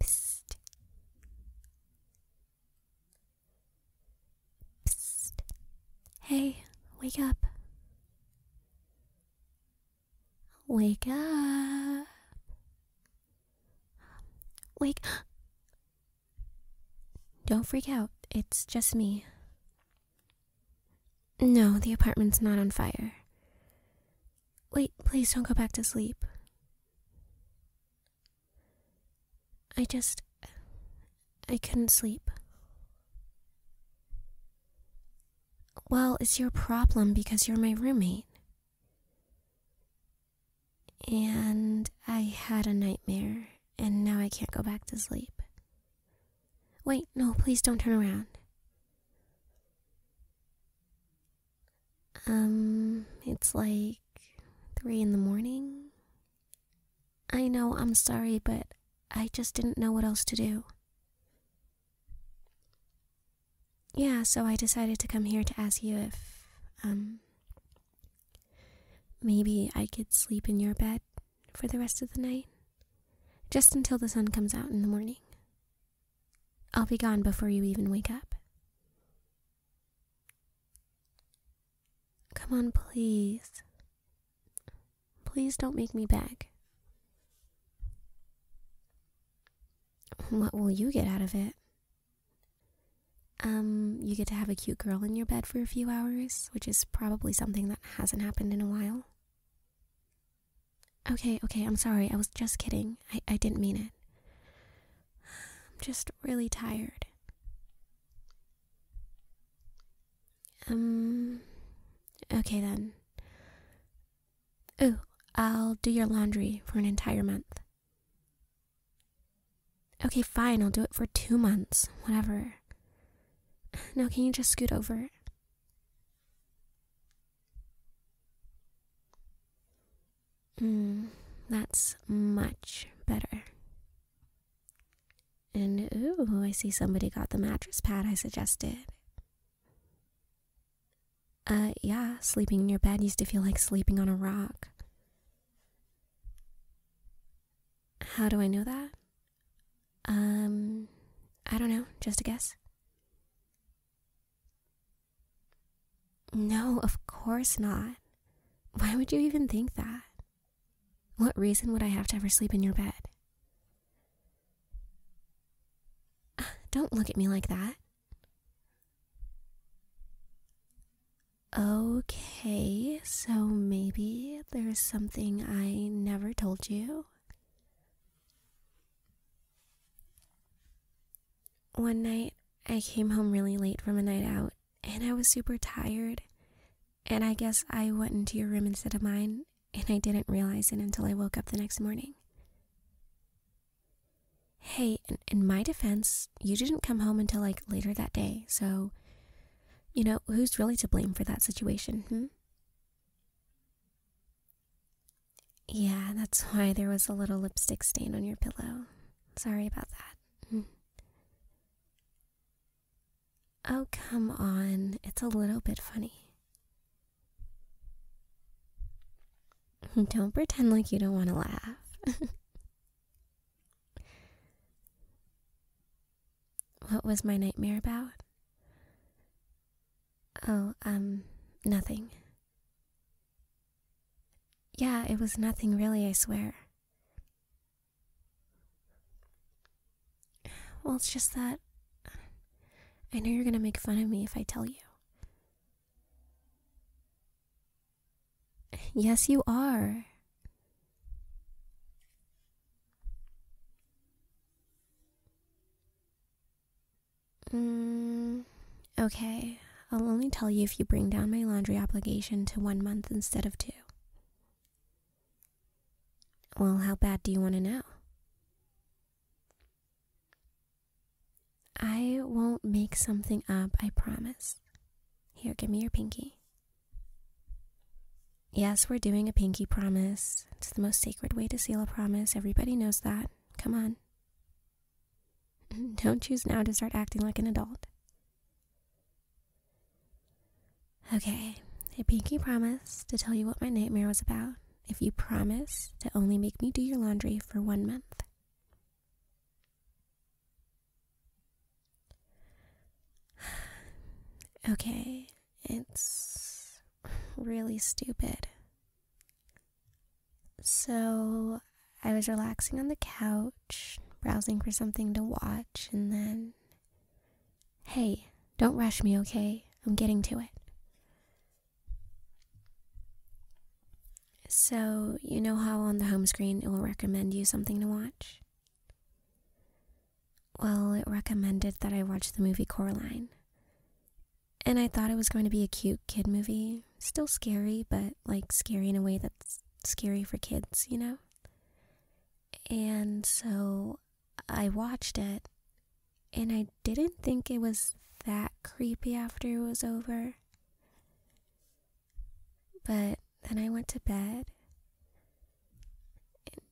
Psst. Psst. Hey, wake up. Wake up. Wake. Don't freak out. It's just me. No, the apartment's not on fire. Wait, please don't go back to sleep. I just. I couldn't sleep. Well, it's your problem because you're my roommate. And I had a nightmare, and now I can't go back to sleep. Wait, no, please don't turn around. Um, it's like three in the morning. I know, I'm sorry, but I just didn't know what else to do. Yeah, so I decided to come here to ask you if, um, maybe I could sleep in your bed for the rest of the night. Just until the sun comes out in the morning. I'll be gone before you even wake up. Come on, please. Please don't make me beg. What will you get out of it? Um, you get to have a cute girl in your bed for a few hours, which is probably something that hasn't happened in a while. Okay, okay, I'm sorry. I was just kidding. I, I didn't mean it. I'm just really tired. Um, okay then. Oh, I'll do your laundry for an entire month. Okay, fine, I'll do it for two months, whatever. Now, can you just scoot over? Mm, that's much better. And ooh, I see somebody got the mattress pad I suggested. Uh, yeah, sleeping in your bed used to feel like sleeping on a rock. How do I know that? Um, I don't know, just a guess. No, of course not. Why would you even think that? What reason would I have to ever sleep in your bed? Ah, don't look at me like that. Okay, so maybe there's something I never told you. One night, I came home really late from a night out, and I was super tired. And I guess I went into your room instead of mine, and I didn't realize it until I woke up the next morning. Hey, in, my defense, you didn't come home until like later that day, so, you know, who's really to blame for that situation, hmm? Yeah, that's why there was a little lipstick stain on your pillow. Sorry about that. Mm. oh, come on. It's a little bit funny. Don't pretend like you don't want to laugh. What was my nightmare about? Oh, um, nothing. Yeah, it was nothing really, I swear. Well, it's just that I know you're gonna make fun of me if I tell you. Yes, you are. Mm, okay, I'll only tell you if you bring down my laundry obligation to one month instead of two. Well, how bad do you want to know? I won't make something up, I promise. Here, give me your pinky. Yes, we're doing a pinky promise. It's the most sacred way to seal a promise. Everybody knows that. Come on. Don't choose now to start acting like an adult. Okay, a pinky promise to tell you what my nightmare was about if you promise to only make me do your laundry for one month. okay, it's really stupid. So I was relaxing on the couch, browsing for something to watch, and then. Hey, don't rush me, okay? I'm getting to it. So, you know how on the home screen it will recommend you something to watch? Well, it recommended that I watch the movie Coraline. And I thought it was going to be a cute kid movie. Still scary, but like scary in a way that's scary for kids, you know? And so I watched it, and I didn't think it was that creepy after it was over. But then I went to bed.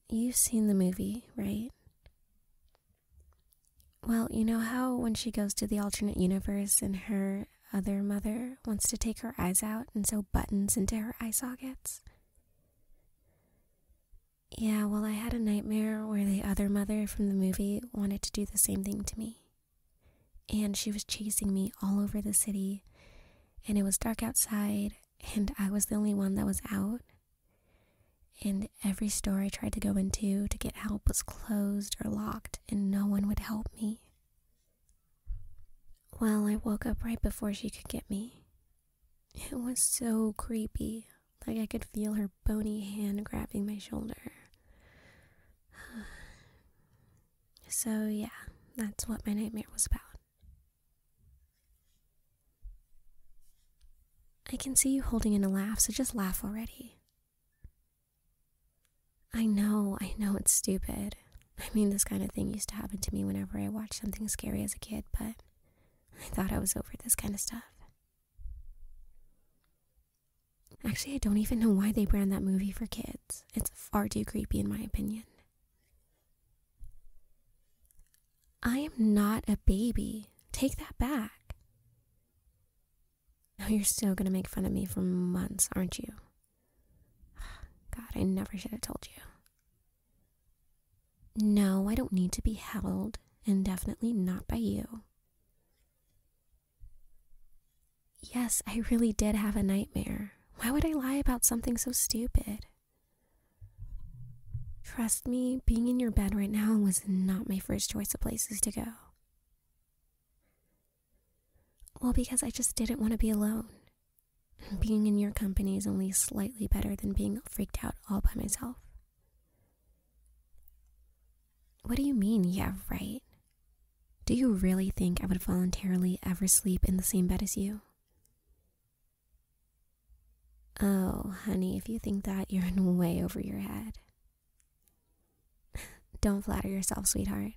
You've seen the movie, right? Well, you know how when she goes to the alternate universe and her other mother wants to take her eyes out and sew buttons into her eye sockets? Yeah, well, I had a nightmare where the other mother from the movie wanted to do the same thing to me. And she was chasing me all over the city, and it was dark outside, and I was the only one that was out. And every store I tried to go into to get help was closed or locked, and no one would help me. Well, I woke up right before she could get me. It was so creepy, like I could feel her bony hand grabbing my shoulder. So, yeah, that's what my nightmare was about. I can see you holding in a laugh, so just laugh already. I know, I know it's stupid. I mean, this kind of thing used to happen to me whenever I watched something scary as a kid, but I thought I was over this kind of stuff. Actually, I don't even know why they brand that movie for kids. It's far too creepy, in my opinion. I am not a baby. Take that back. Now you're still gonna make fun of me for months, aren't you? God, I never should have told you. No, I don't need to be held, indefinitely, not by you. Yes, I really did have a nightmare. Why would I lie about something so stupid? Trust me, being in your bed right now was not my first choice of places to go. Well, because I just didn't want to be alone. Being in your company is only slightly better than being freaked out all by myself. What do you mean, You yeah, right? Do you really think I would voluntarily ever sleep in the same bed as you? Oh, honey, if you think that, you're in way over your head. Don't flatter yourself, sweetheart.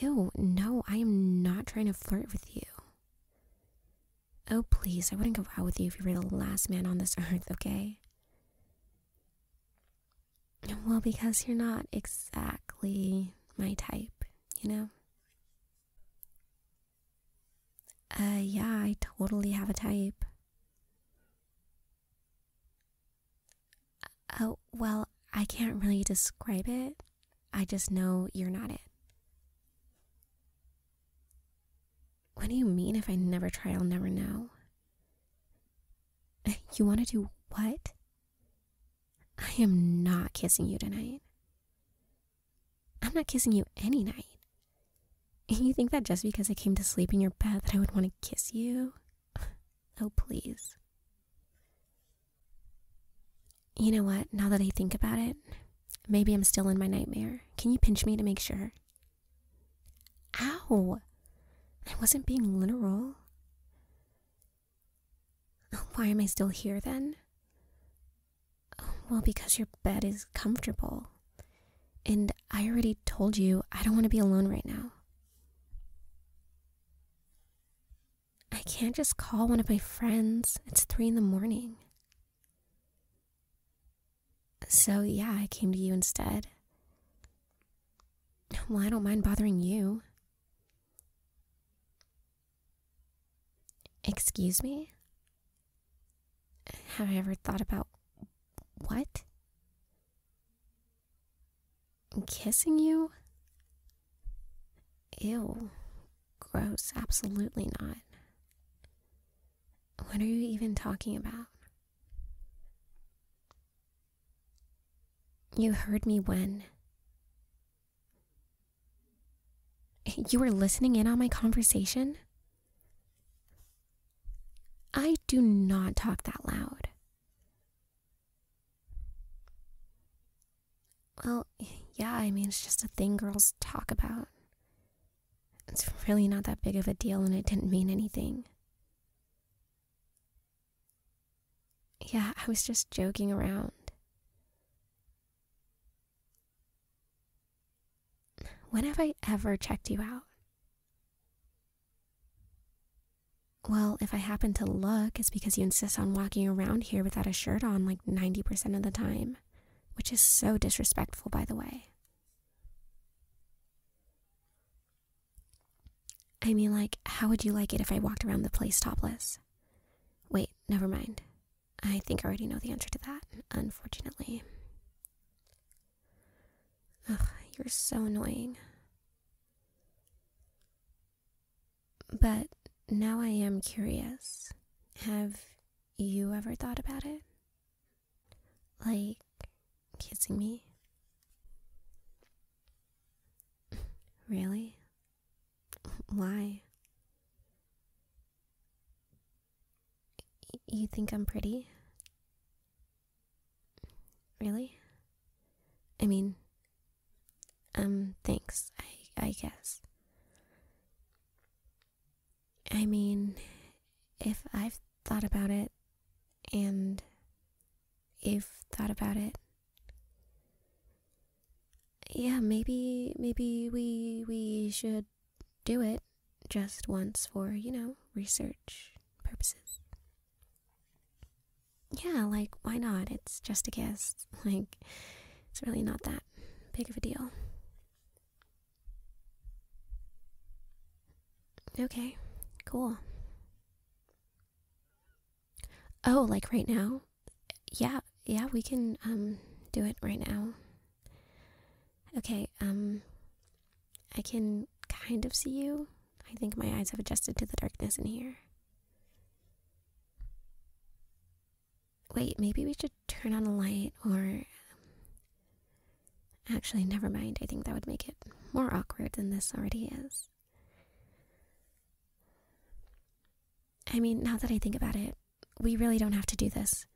Ew, no, I am not trying to flirt with you. Oh, please, I wouldn't go out with you if you were the last man on this earth, okay? Well, because you're not exactly my type, you know? Uh, yeah, I totally have a type. Oh, well, I can't really describe it. I just know you're not it. What do you mean if I never try, I'll never know? You want to do what? I am not kissing you tonight. I'm not kissing you any night. You think that just because I came to sleep in your bed that I would want to kiss you? Oh, please. You know what? Now that I think about it, maybe I'm still in my nightmare. Can you pinch me to make sure? Ow! I wasn't being literal. Oh, why am I still here then? Oh, well, because your bed is comfortable. And I already told you I don't want to be alone right now. I can't just call one of my friends. It's three in the morning. So, yeah, I came to you instead. Well, I don't mind bothering you. Excuse me? Have I ever thought about what? Kissing you? Ew. Gross. Absolutely not. What are you even talking about? You heard me when? You were listening in on my conversation? I do not talk that loud. Well, yeah, I mean, it's just a thing girls talk about. It's really not that big of a deal, and it didn't mean anything. Yeah, I was just joking around. When have I ever checked you out? Well, if I happen to look, it's because you insist on walking around here without a shirt on like 90% of the time which is so disrespectful, by the way. I mean, like, how would you like it if I walked around the place topless? Wait, never mind. I think I already know the answer to that, unfortunately. Ugh, you're so annoying. But now I am curious. Have you ever thought about it? Like kissing me? Really? Why? You think I'm pretty? Really? I mean, um, thanks, I, I guess. I mean, if I've thought about it and you've thought about it, yeah, maybe maybe we we should do it just once for, you know, research purposes. Yeah, like why not? It's just a guess. Like it's really not that big of a deal. Okay, cool. Oh, like right now? Yeah, yeah, we can um do it right now. Okay, um I can kind of see you. I think my eyes have adjusted to the darkness in here. Wait, maybe we should turn on a light or. Actually, never mind. I think that would make it more awkward than this already is. I mean, now that I think about it, we really don't have to do this.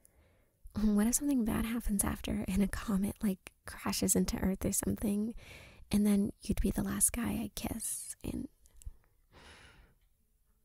What if something bad happens after and a comet, like, crashes into Earth or something, and then you'd be the last guy I kiss, and.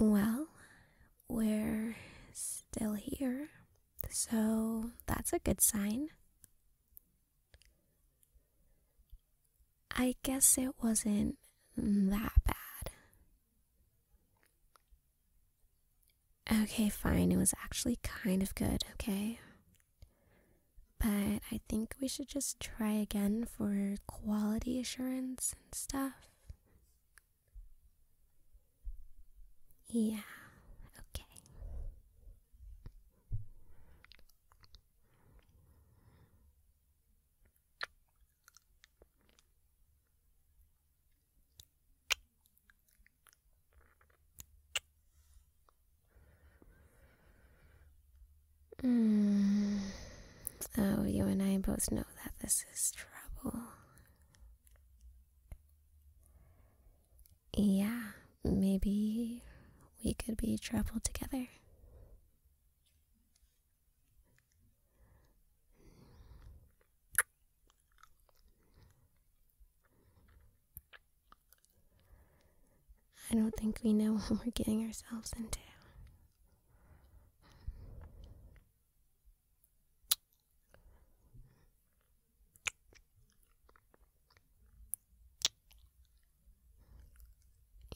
Well, we're still here, so that's a good sign. I guess it wasn't that bad, Okay, fine. It was actually kind of good, okay? But I think we should just try again for quality assurance and stuff. Yeah, okay. Mm. Oh, you and I both know that this is trouble. Yeah, maybe we could be trouble together. I don't think we know what we're getting ourselves into.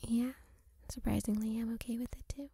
Yeah, surprisingly, I'm okay with it too.